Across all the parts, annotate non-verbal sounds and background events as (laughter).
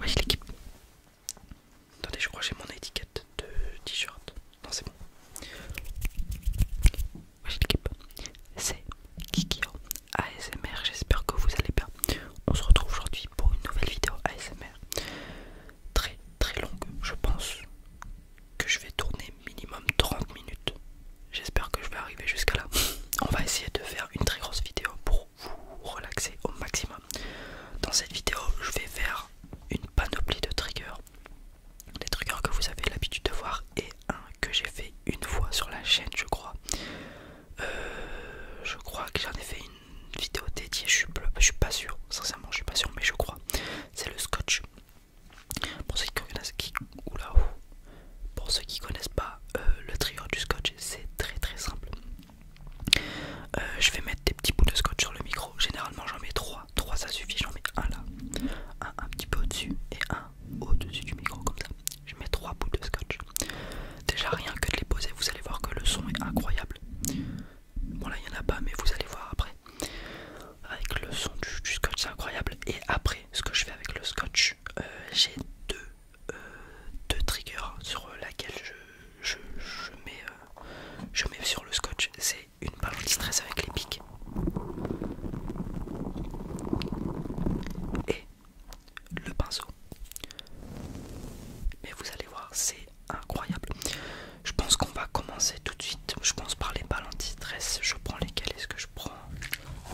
Oui, l'équipe. Attendez, je crois j'ai mon étiquette de t-shirt. Non, c'est bon c'est Kikio ASMR. J'espère que vous allez bien. On se retrouve aujourd'hui pour une nouvelle vidéo ASMR très très longue. Je pense que je vais tourner minimum 30 minutes. J'espère que je vais arriver jusqu'à là. On va essayer de faire une très grosse vidéo pour vous relaxer au maximum. Dans cette vidéo, je vais faire une panoplie de triggers, des triggers que vous avez l'habitude de voir et un que j'ai fait une fois sur la chaîne je crois euh, je crois que j'en ai fait une vidéo dédiée je suis, je suis pas sûr sincèrement je suis pas sûr mais je crois c'est le scotch pour ceux qui connaissent ou là pour ceux qui connaissent pas euh, le trio du scotch c'est très très simple euh, je vais mettre des petits bouts de scotch sur le micro généralement j'en mets trois trois ça suffit j'en mets un là un un petit peu au dessus et un au-dessus du micro comme ça. Je mets trois bouts de scotch. Déjà rien que de les poser, vous allez voir que le son est incroyable. Bon là il n'y en a pas mais vous allez voir après. Avec le son du, scotch c'est incroyable. Et après ce que je fais avec le scotch, euh, j'ai deux, euh, deux triggers sur laquelle je, mets, euh, je mets sur le scotch. C'est une balle anti-stress avec les pics et le pinceau. Mais vous allez voir, c'est incroyable. Je pense qu'on va commencer tout de suite. Je pense par les balles anti-stress. Je prends lesquelles Est-ce que je prends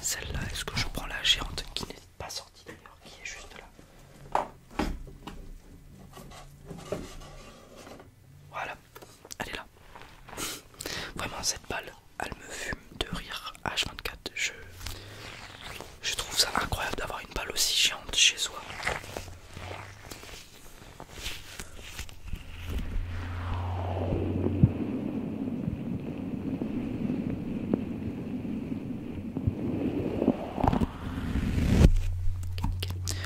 celle-là Est-ce que je prends la géante qui n'est pas sortie d'ailleurs, qui est juste là Voilà, elle est là. Vraiment, cette balle, elle me fume de rire H24. Je, je trouve ça incroyable d'avoir une balle aussi géante chez soi.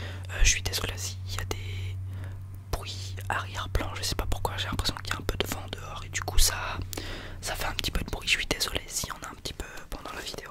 Euh, je suis désolé il y a des bruit arrière-plan, je sais pas pourquoi, j'ai l'impression qu'il y a un peu de vent dehors et du coup ça, ça fait un petit peu de bruit, je suis désolé s'il y en a un petit peu pendant la vidéo.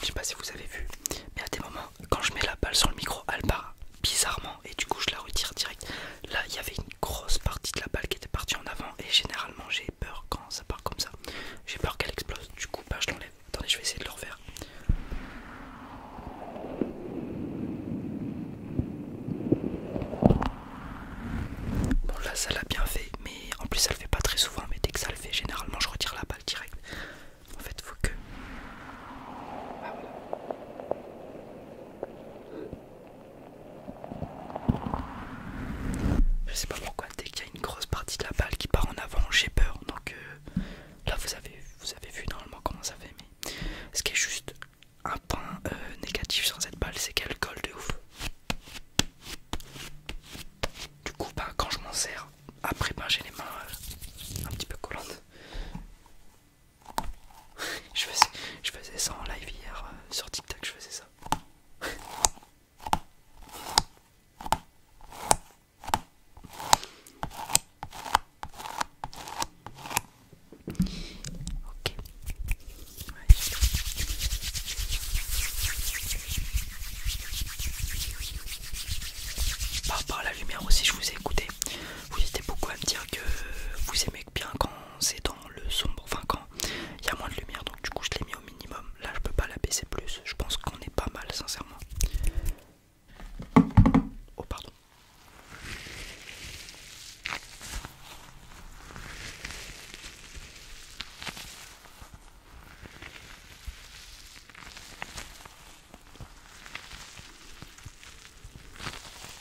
Je sais pas si vous avez vu, mais à des moments, quand je mets la balle sur le micro, elle part bizarrement et du coup je la retire direct. Là il y avait une grosse partie de la balle qui était partie en avant et généralement j'ai peur quand ça part comme ça. J'ai peur qu'elle explose. Du coup bah, je l'enlève. Attendez je vais essayer de le refaire. Bon là ça l'a bien fait mais en plus ça le fait pas très souvent mais dès que ça le fait généralement je retire la balle direct. En fait faut que... Ah, voilà. Je sais pas pourquoi dès qu'il y a une grosse partie de la balle qui part en avant j'ai peur donc euh, là vous avez vous avez vu normalement comment ça fait mais ce qui est juste un point euh, négatif sur cette balle c'est qu'elle colle de ouf du coup bah, quand je m'en sers après bah, j'ai les mains euh, un petit peu collantes (laughs) je, faisais, je ça en live hier euh, sur TikTok, je faisais ça. (laughs) ok. par, par la lumière aussi, je vous ai écouté vous hésitez beaucoup à me dire que vous aimez bien quand c'est dans le sombre, enfin quand il y a moins de lumière, donc du coup je l'ai mis au minimum. Là je peux pas la baisser plus, je pense qu'on est pas mal sincèrement. Oh pardon.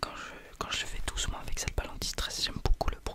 Quand je, quand je fais doucement avec cette balle anti-stress, j'aime beaucoup le bruit.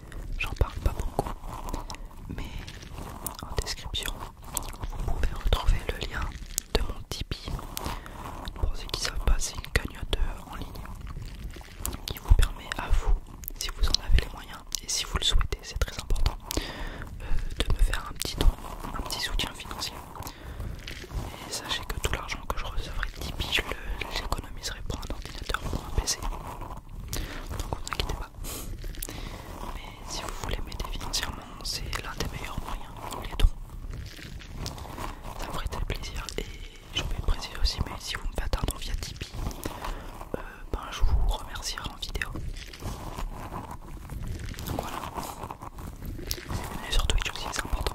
j'en parle pas beaucoup, mais en description vous pouvez retrouver le lien de mon Tipeee. Pour ceux qui ne savent pas, c'est une cagnotte en ligne qui vous permet à vous, si vous en avez les moyens et si vous le souhaitez, c'est très important, euh, de me faire un petit don, un petit soutien financier. Et sachez que tout l'argent que je recevrai de Tipeee, je l'économiserai pour un ordinateur ou un PC donc ne vous inquiétez pas. Mais si vous voulez m'aider financièrement, c'est l'un des meilleurs moyens, les trop, Ça me ferait tel plaisir et je vais préciser aussi, mais si vous me faites un via Tipeee, euh, ben, je vous remercierai en vidéo. Donc voilà. Et sur Twitch aussi, c'est important.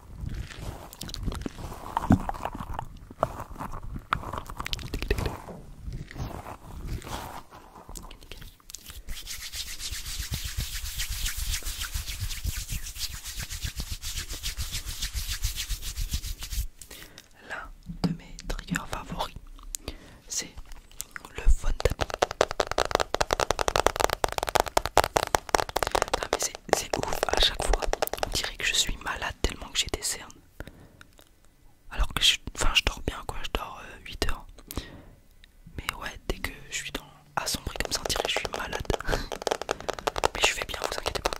L'un de mes triggers favoris, c'est le fond c'est ouf, à chaque fois, on dirait que je suis malade tellement que j'ai des cernes. Alors que je, enfin, je dors bien, quoi, je dors 8 euh, heures. Mais ouais, dès que je suis dans assombri comme ça, on dirait que je suis malade. (laughs) Mais je vais bien, vous inquiétez pas.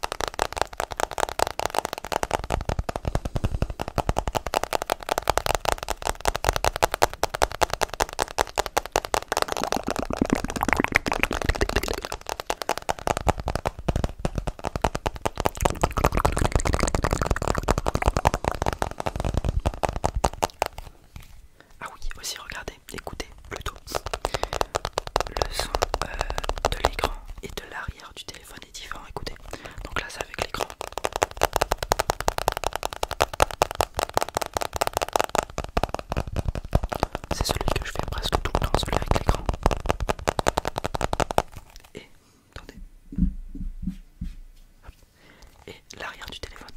Ah oui, aussi regardez, écoutez plutôt le son euh, de l'écran et de l'arrière du téléphone est différent. Écoutez, donc là c'est avec l'écran. C'est celui que je fais presque tout le temps, celui avec l'écran. Et attendez. Et l'arrière du téléphone.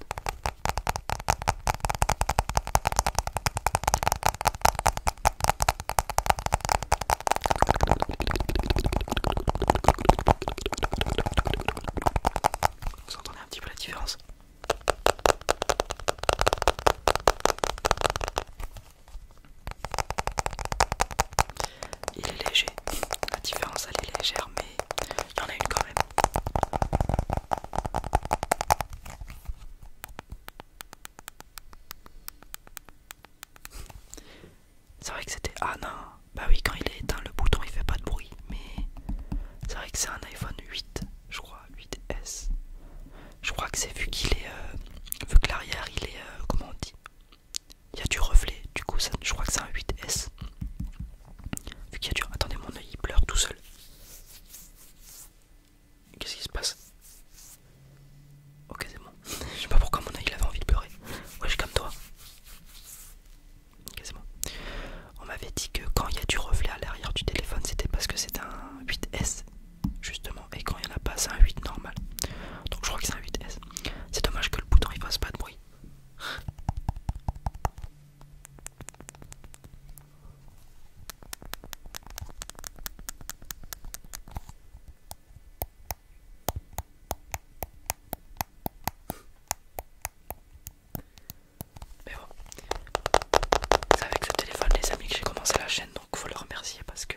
Vous entendez un petit peu la différence il est léger, la différence elle est légère, mais il y en a une quand même. C'est vrai que c'était. Ah non, bah oui, quand il est éteint, le bouton il fait pas de bruit, mais c'est vrai que c'est un iPhone 8, je crois, 8S. Je crois que c'est vu qu'il est. Euh, vu que l'arrière il est. Euh, comment on dit Il y a du reflet, du coup ça, je crois que c'est un 8S. Vu qu'il y a du. Attendez, mon œil il pleure tout seul. Qu'est-ce qui se passe Ok, c'est bon. (laughs) je sais pas pourquoi mon œil il avait envie de pleurer. Ouais, je suis comme toi. quasiment On m'avait dit que quand il y a du reflet à l'arrière du téléphone, c'était parce que c'est un 8S justement et quand il n'y en a pas c'est un 8 normal donc je crois que c'est un 8S c'est dommage que le bouton il fasse pas de bruit mais bon c'est avec ce téléphone les amis que j'ai commencé la chaîne donc faut le remercier parce que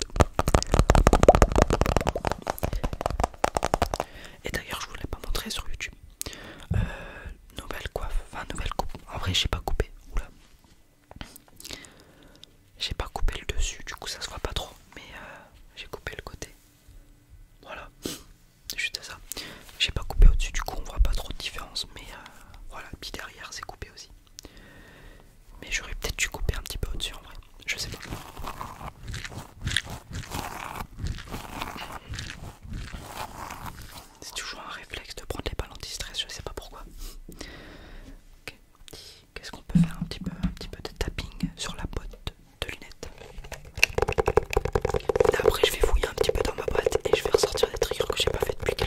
Et d'ailleurs, je vous l'ai pas montré sur YouTube. Euh, nouvelle coiffe, enfin nouvelle coupe. En vrai, j'ai pas coupé. Oula, j'ai pas coupé le dessus, du coup ça se voit pas trop. Mais euh, j'ai coupé le côté. Voilà, juste ça. J'ai pas coupé au-dessus, du coup on voit pas trop de différence. Mais euh, voilà, puis derrière c'est coupé aussi. Mais j'aurais peut-être dû couper un petit peu au-dessus en vrai. Je sais pas. C'est toujours un réflexe de prendre les balles anti-stress, je sais pas pourquoi. Qu'est-ce qu'on peut faire un petit, peu, un petit peu de tapping sur la boîte de lunettes. après je vais fouiller un petit peu dans ma boîte et je vais ressortir des triggers que j'ai pas fait depuis quelques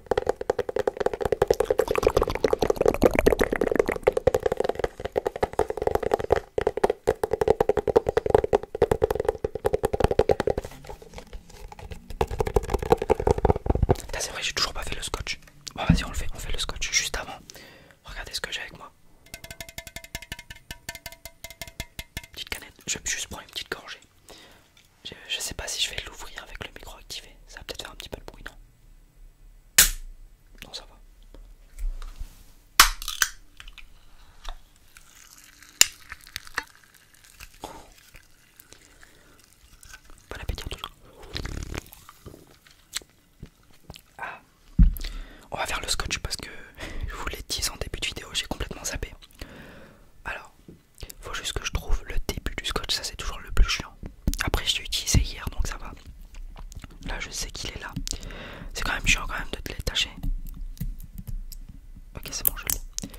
C'est vrai, j'ai toujours pas fait le scotch. Bon, vas-y, on le fait, on fait le scotch juste avant. Regardez ce que j'ai avec moi. Petite canette, je vais juste prendre une petite gorgée. Je, sais pas si je vais l'ouvrir avec le micro activé. Ça va peut-être faire un petit peu de bruit, non Non, ça va. Bon appétit tout ah. On va faire le scotch parce que (laughs) je vous l'ai dit en début de vidéo, j'ai complètement zappé. Alors, faut juste que je trouve le début du scotch, ça c'est toujours le plus chiant. Après je l'ai utilisé hier donc ça va. Là je sais qu'il est là. C'est quand même chiant quand même de te détacher. Ok c'est bon je l'ai.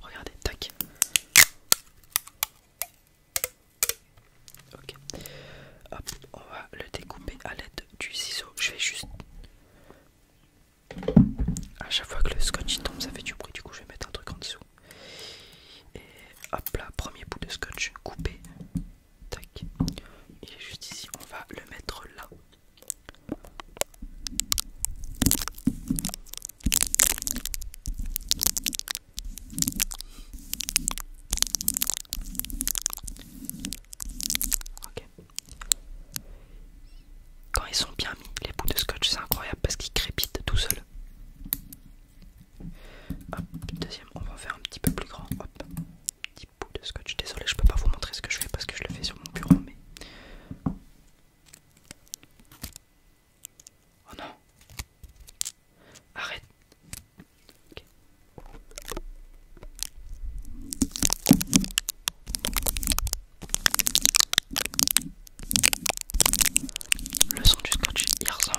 Regardez, tac. Ok. Hop, on va le découper à l'aide du ciseau. Je vais juste à chaque fois que le scotch tombe, ça fait du bruit. Du coup, je vais mettre un truc en dessous. Et hop là, premier bout de scotch coupé. Tac, il est juste ici. On va le mettre là. Ok, quand ils sont bien mis, les bouts de scotch, c'est incroyable parce qu'ils crépitent tout seuls. Hop, deuxième, on va en faire un petit peu plus grand. Hop, petit bout de scotch. Désolé, je peux pas vous montrer ce que je fais parce que je le fais sur mon bureau, mais. Oh non! Arrête! Le son du scotch il ressemble.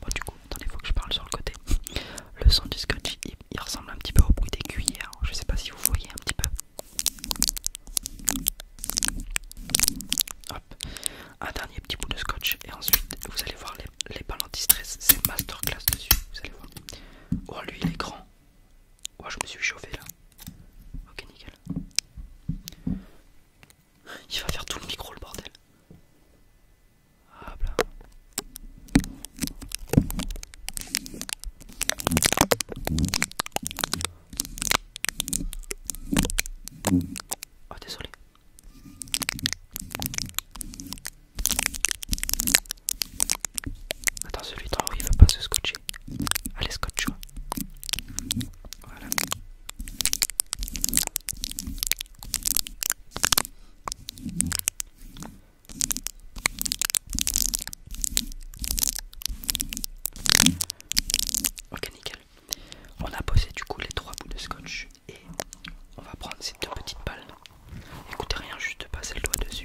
Bon, du coup, attendez, faut que je parle sur le côté. Le son du scotch il, ressemble un petit peu au bruit des cuillères. Hein. Je sais pas si vous voyez un petit peu. Hop, un dernier petit bout de scotch et ensuite vous allez voir les, les balles anti-stress. C'est masterclass dessus. Vous allez voir. Oh, lui il est grand. Oh, je me suis chauffé là. Ok, nickel. Il va faire tout le micro, le bordel. Ah Oh, désolé. Attends, celui-là, il va pas se scotcher. Allez scotch. Voilà. Ok, nickel. On a posé du coup les trois bouts de scotch et on va prendre ces deux petites balles. Écoutez rien, juste passer le doigt dessus.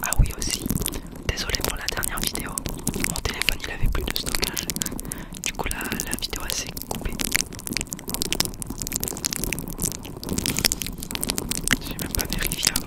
Ah oui aussi, désolé pour la dernière vidéo, mon téléphone il avait plus de stockage, du coup là la vidéo s'est coupée. J'ai même pas vérifié avant.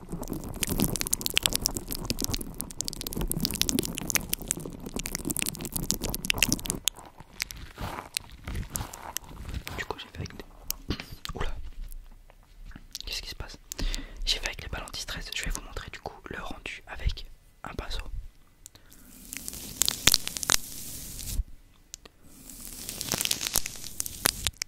Du coup j'ai fait avec des... Oula Qu'est-ce qui se passe J'ai fait avec les balles anti-stress, je vais vous montrer du coup le rendu avec un pinceau.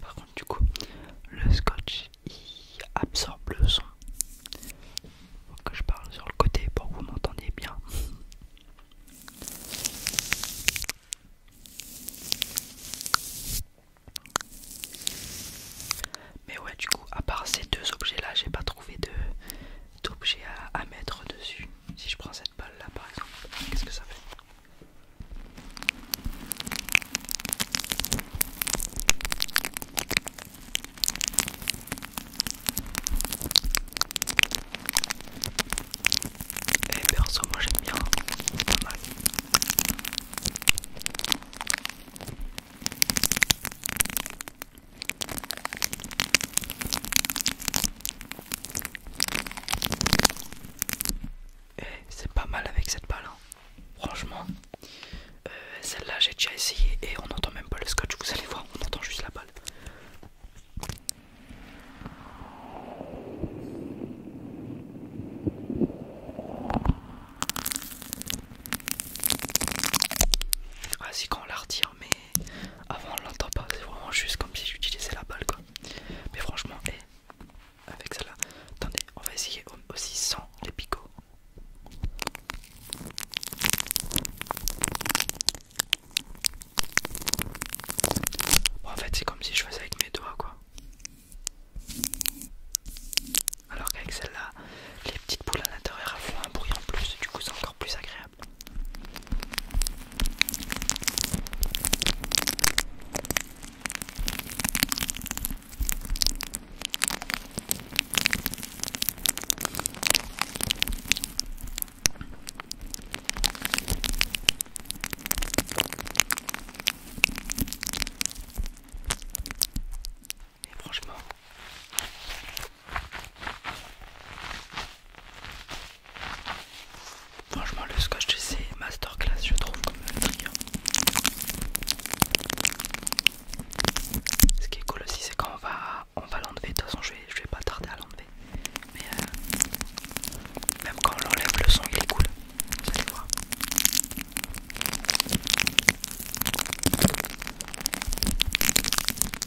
Par contre, du coup, le scotch il absorbe le son. je parle sur le côté pour que vous m'entendiez bien. Mais ouais, du coup, à part ces deux objets là, j'ai pas trouvé de d'objets à, mettre dessus. Si je prends cette balle là par exemple, qu'est-ce que ça fait et eh, perso moi j'aime bien pas mal eh, c'est pas mal avec cette balle, hein. franchement. Euh, celle-là, j'ai déjà essayé et on n'entend même pas le scotch. Vous allez voir, on entend juste la balle. Ah, si quand on la retire, mais avant on l'entend pas, c'est vraiment juste comme si j'utilisais la balle quoi. Mais franchement, eh, avec celle-là, attendez, on va essayer aussi sans les picots. Bon, en fait, c'est comme si je faisais avec mes doigts quoi. Alors qu'avec celle-là, les petites boules à l'intérieur font un bruit en plus, du coup c'est encore plus agréable. Et franchement, franchement le scotch c'est masterclass je trouve comme Ce qui est cool aussi c'est quand on va, on va l'enlever, de toute façon je vais, vais pas tarder à l'enlever. Mais euh, même quand on l'enlève le son il est cool. Vous allez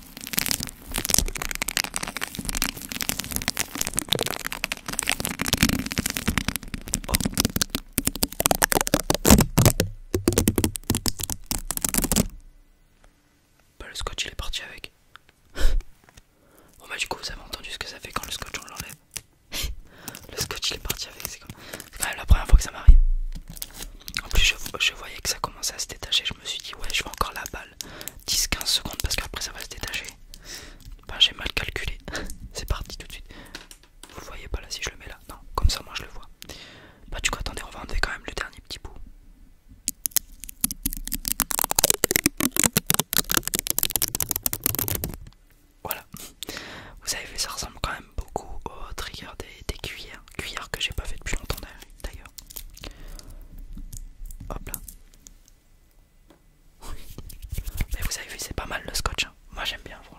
Oh. Bah, le scotch il est parti avec. (laughs) bon bah du coup vous avez entendu ce que ça fait quand le scotch on l'enlève. (laughs) le scotch il est parti avec, c'est quand même la première fois que ça m'arrive. En plus je, voyais que ça à se détacher, je me suis dit ouais je vais encore la balle 10-15 secondes parce qu'après ça va se détacher. Bah j'ai mal calculé. (laughs) C'est parti tout de suite. Vous voyez pas là si je le mets là Non, comme ça moi je le vois. Bah du coup attendez on va enlever quand même le dernier petit bout. Voilà, vous avez vu ça ressemble quand même beaucoup au trigger des cuillères cuillère. que j'ai pas fait depuis longtemps d'ailleurs. Hop là. (laughs) Mais vous avez vu, c'est pas mal le scotch. Hein. Moi j'aime bien, franchement.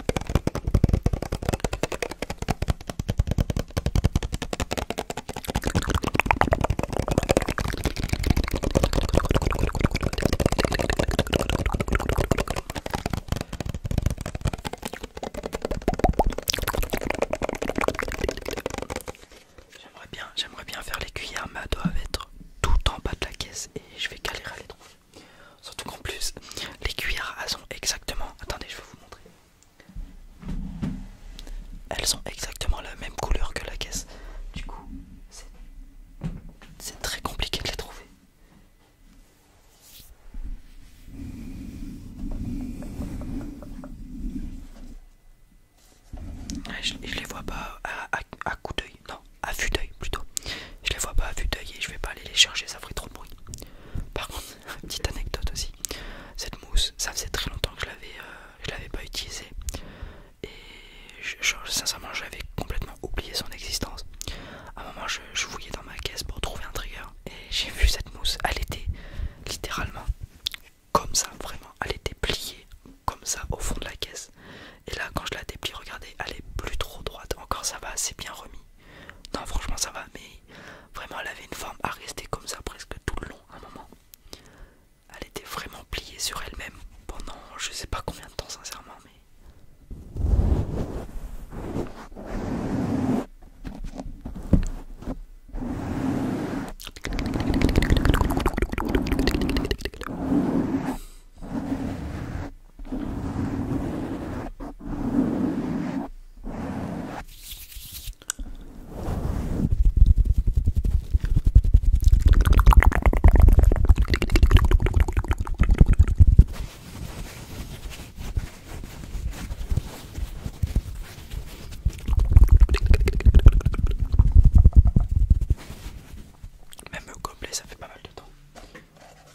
J'aimerais bien, j'aimerais bien faire les cuillères, mais elles doivent être tout en bas de la caisse et je vais galérer à les Surtout qu'en plus, les cuillères, elles sont exactement. Attendez, je vais vous montrer. Elles sont exactement la même couleur que la caisse. Du coup, c'est très compliqué de les trouver. je, les vois pas à, à coup d'œil, non à vue d'œil plutôt. Je les vois pas à vue d'œil et je vais pas aller les chercher, ça ferait trop de bruit. Par contre, (laughs) petite anecdote aussi, cette mousse, ça faisait très longtemps que je l'avais, euh, je l'avais pas utilisée et sincèrement, j'avais complètement oublié son existence. À un moment, je, je fouillais dans ma caisse pour trouver un trigger et j'ai vu cette mousse. Elle était littéralement comme ça, vraiment. Elle était pliée comme ça au fond de la caisse. Et là, quand je la déplie, regardez, elle est plus trop droite. Encore, ça va, c'est bien remis. Non, franchement, ça va, mais vraiment, elle avait une forme à rester comme ça presque tout le long, à un moment. Elle était vraiment pliée sur elle-même pendant je sais pas combien de temps, sincèrement, mais. Même gobelet, ça fait pas mal de temps.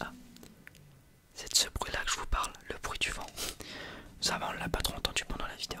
Ah. c'est de ce bruit-là que je vous parle, le bruit du vent. Ça va, on l'a pas trop entendu pendant la vidéo.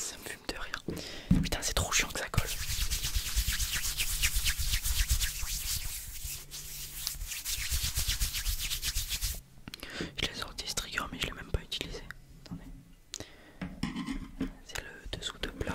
Ça me fume de rien Putain, c'est trop chiant que ça colle. Je l'ai sorti ce trigger, mais je l'ai même pas utilisé. c'est le dessous de plat.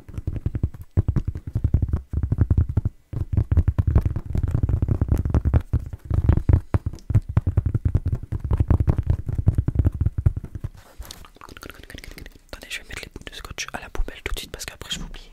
Attendez, je vais mettre les bouts de scotch à la poubelle tout de suite parce qu'après je vais oublier.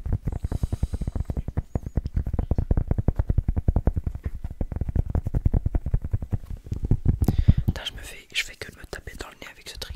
je me fais, je fais que me taper dans le nez avec ce trigger.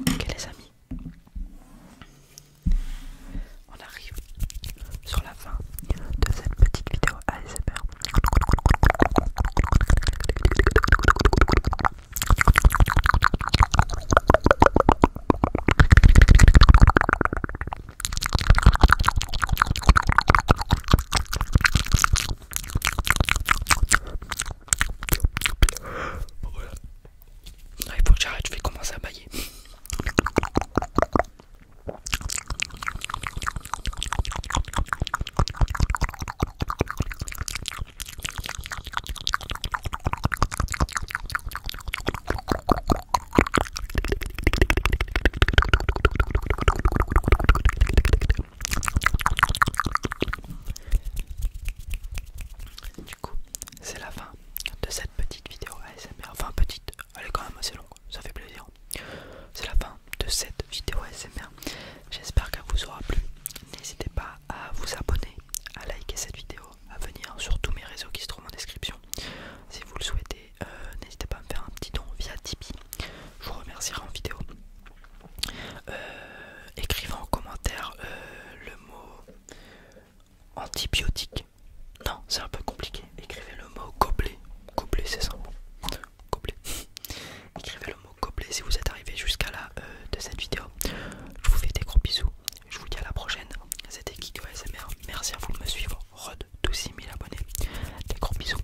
Ok les amis, on arrive sur la fin de cette petite vidéo ASMR. Voilà. il faut que je vais commencer à bailler. Du coup, c'est la fin de cette petite vidéo ASMR. Enfin, petite, elle est quand même assez longue, ça fait plaisir. C'est la fin de cette vidéo SMR. J'espère qu'elle vous aura plu. N'hésitez pas à vous abonner, à liker cette vidéo, à venir sur tous mes réseaux qui se trouvent en description. Si vous le souhaitez, euh, n'hésitez pas à me faire un petit don via Tipeee. Je vous remercierai en vidéo. Euh, écrivez en commentaire euh, le mot antibiotique. Non, c'est un peu compliqué. Écrivez le mot gobelet. Gobelet, c'est simple. Goblet. (laughs) Écrivez le mot goblet. si vous êtes arrivé jusqu'à la euh, de cette vidéo. Je vous fais des gros bisous. Je vous dis à la prochaine. C'était Kiko ASMR. Merci à vous de me suivre. Rod, 12000 abonnés. Des gros bisous.